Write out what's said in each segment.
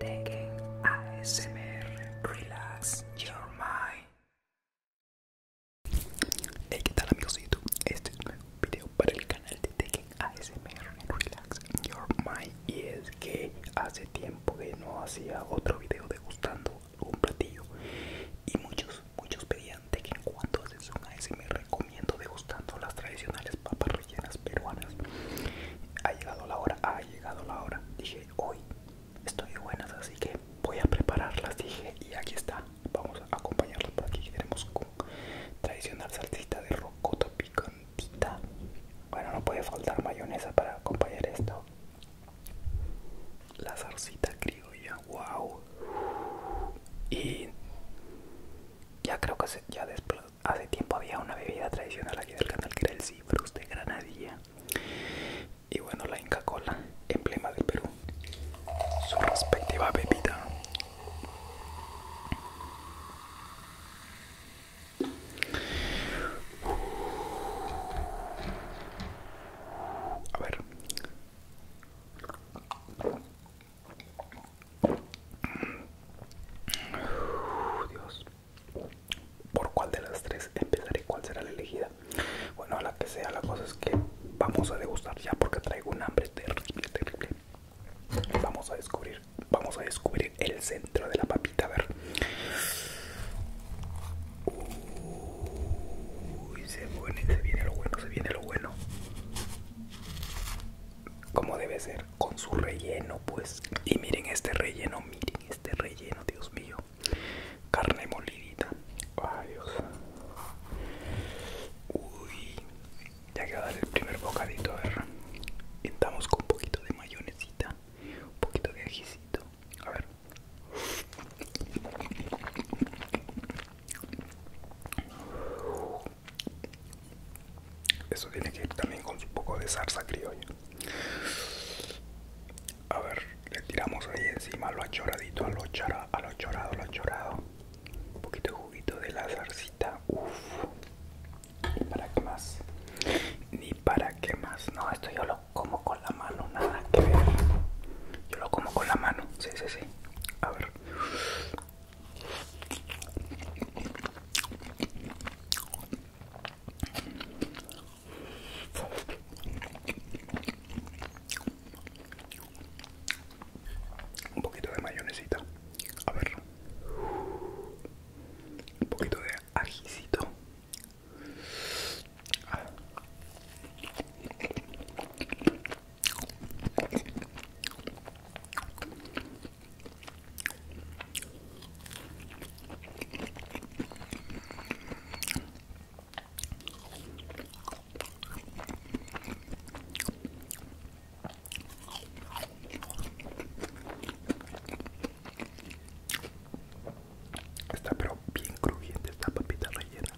Tekken ASMR Relax Your Mind. Hey, ¿qué tal amigos de YouTube? Este es un nuevo video para el canal de Tekken ASMR Relax Your Mind. Y es que hace tiempo que no hacía otro video degustando un platillo. Y muchos, muchos pedían Tekken cuando haces un ASMR recomiendo degustando las tradicionales papas rellenas peruanas. Ha llegado la hora, ha llegado la hora. Dije, hoy estoy buenas, así que voy a prepararlas. Dije, y aquí está. Vamos a acompañarlas por aquí. Tenemos con tradicional salsita de rocota picantita. Bueno, no puede faltar mayonesa para acompañar esto. La salsita criolla, wow. Y ya creo que se, ya después hace tiempo había una bebida tradicional aquí del canal que era el Cifrus de Granadilla y bueno la Inca Cola, emblema del Perú, su respectiva bebida. A ver. Dios. ¿Por cuál de las tres empezaré? ¿Cuál será la elegida? Bueno, a la que sea, la cosa es que vamos a degustar ya porque traigo un hambre terrible, terrible. Vamos a descubrir, vamos a descubrir el centro de la papita, a ver. Uy, se, se viene lo bueno, se viene lo bueno como debe ser con su relleno pues y miren este relleno miren este relleno dios mío carne molidita ay dios uy ya queda el primer bocadito a ver pintamos con un poquito de mayonesita un poquito de ajicito a ver eso tiene que ir también con un poco de salsa criolla. A ver, le tiramos ahí encima lo achoradito, a lo, achorado, a lo chorado, a lo chorado. Un poquito de juguito de la zarcita. Uff. Ni para qué más. Ni para qué más. No, esto yo lo como con la mano, nada que ver. Yo lo como con la mano. Sí, sí, sí. A ver. Un poquito de mayonesita. A ver. Un poquito de ajicito. Está pero bien crujiente esta papita rellena.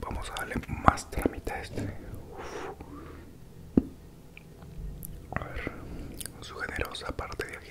Vamos a darle más tramita a este. A su generosa parte de aquí.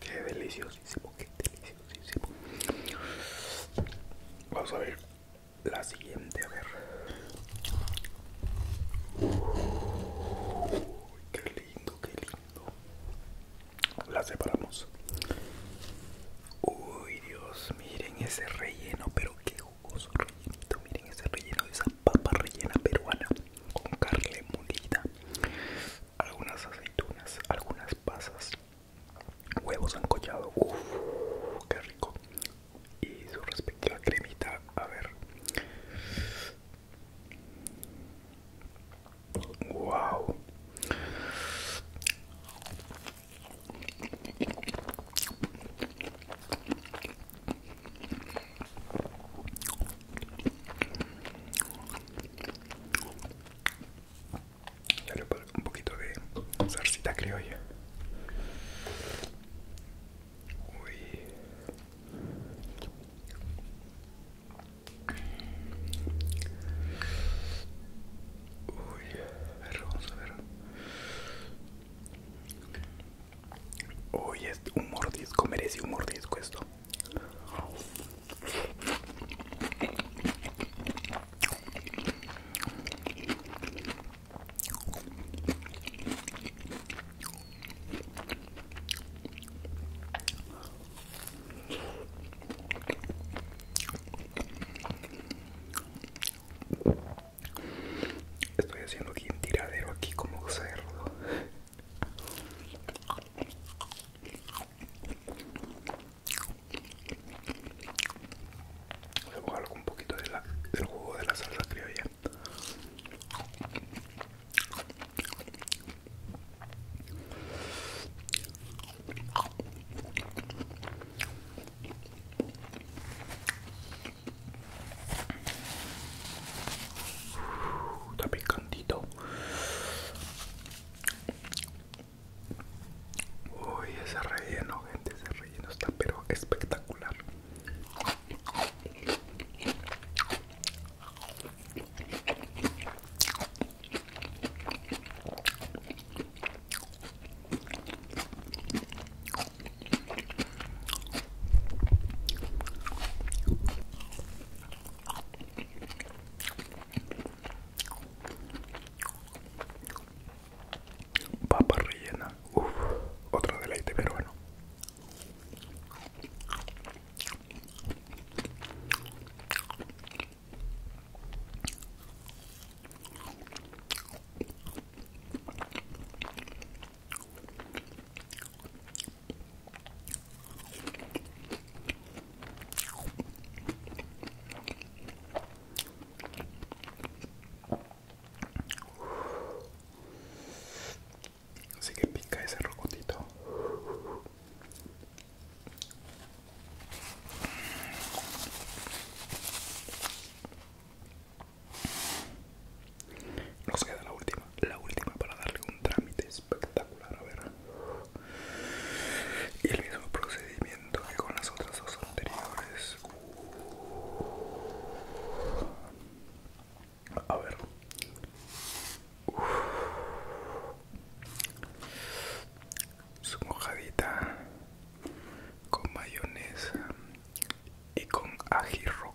Qué deliciosísimo, qué deliciosísimo. Vamos a ver la siguiente, a ver. qué lindo, qué lindo. La separamos. Uy, Dios, miren ese relleno, pero qué Miren ese relleno de esa papa rellena peruana con carne molida, algunas aceitunas, algunas pasas, huevos ancollados. Uff, qué rico. Y su respectiva cremita, a ver. Wow. Dale un poquito de salsita criolla. Uy. Uy, a ver, vamos a ver. Hoy es un mordisco, merece un mordisco esto. Estoy haciendo aquí un tiradero aquí como cerdo. voy a dar un poquito del jugo de la salsa criolla está Uy, ese relleno, gente, ese relleno está pero espectacular. Papa rellena, uff, otro deleite bueno Así que pica ese rocotito. Nos queda la última, la última para darle un trámite espectacular, a ver. Y el mismo procedimiento que con las otras dos anteriores. A ver. Su mojadita con mayonesa y con ají rojo.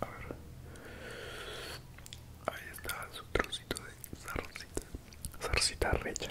A ver. Ahí está su trocito de zarcita. Zarcita recha.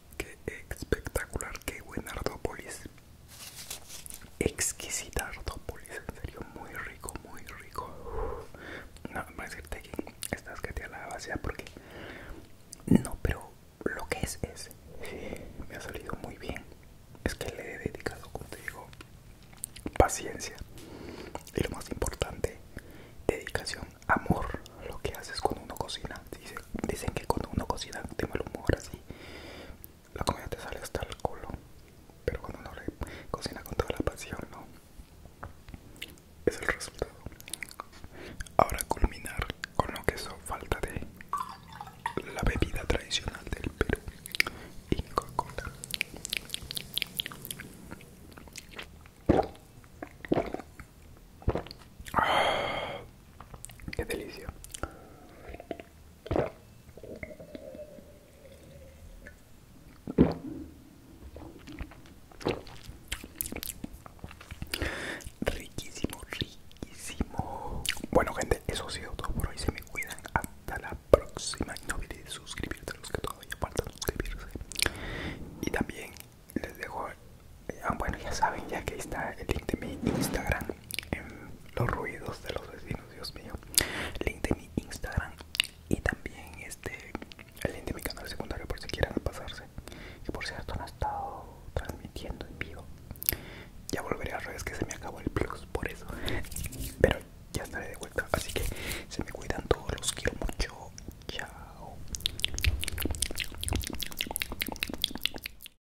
Qué espectacular, qué buen Ardópolis. Exquisita Ardópolis, en serio, muy rico, muy rico. No, voy decirte que estás que te la vacía porque. No, pero lo que es, es. Eh, me ha salido muy bien. Es que le he dedicado, como te digo, paciencia. Y lo más importante, dedicación, amor. Lo que haces cuando uno cocina. Dicen, que cuando uno cocina, te humor así la comida te sale hasta el culo. Pero cuando uno cocina con toda la pasión, ¿no? Es el resultado. Ahora culminar con lo que la falta de la bebida tradicional del Perú, Y Cola. Qué delicio Riquísimo, riquísimo. Bueno, gente, eso ha sido todo por hoy. Se me cuidan. Hasta la próxima. No olvides suscribirse a los que todavía faltan suscribirse. Y también les dejo. Eh, ah, bueno, ya saben, ya que está el link de mi Instagram en los ruidos de los vecinos, Dios mío. Link de mi Instagram y también este el link de mi canal secundario por si quieren pasarse. Que por cierto no he estado transmitiendo en vivo. Ya volveré a redes que se me acabó el plus por eso. Pero ya estaré de vuelta. Así que se me cuidan todos, los quiero mucho. Chao.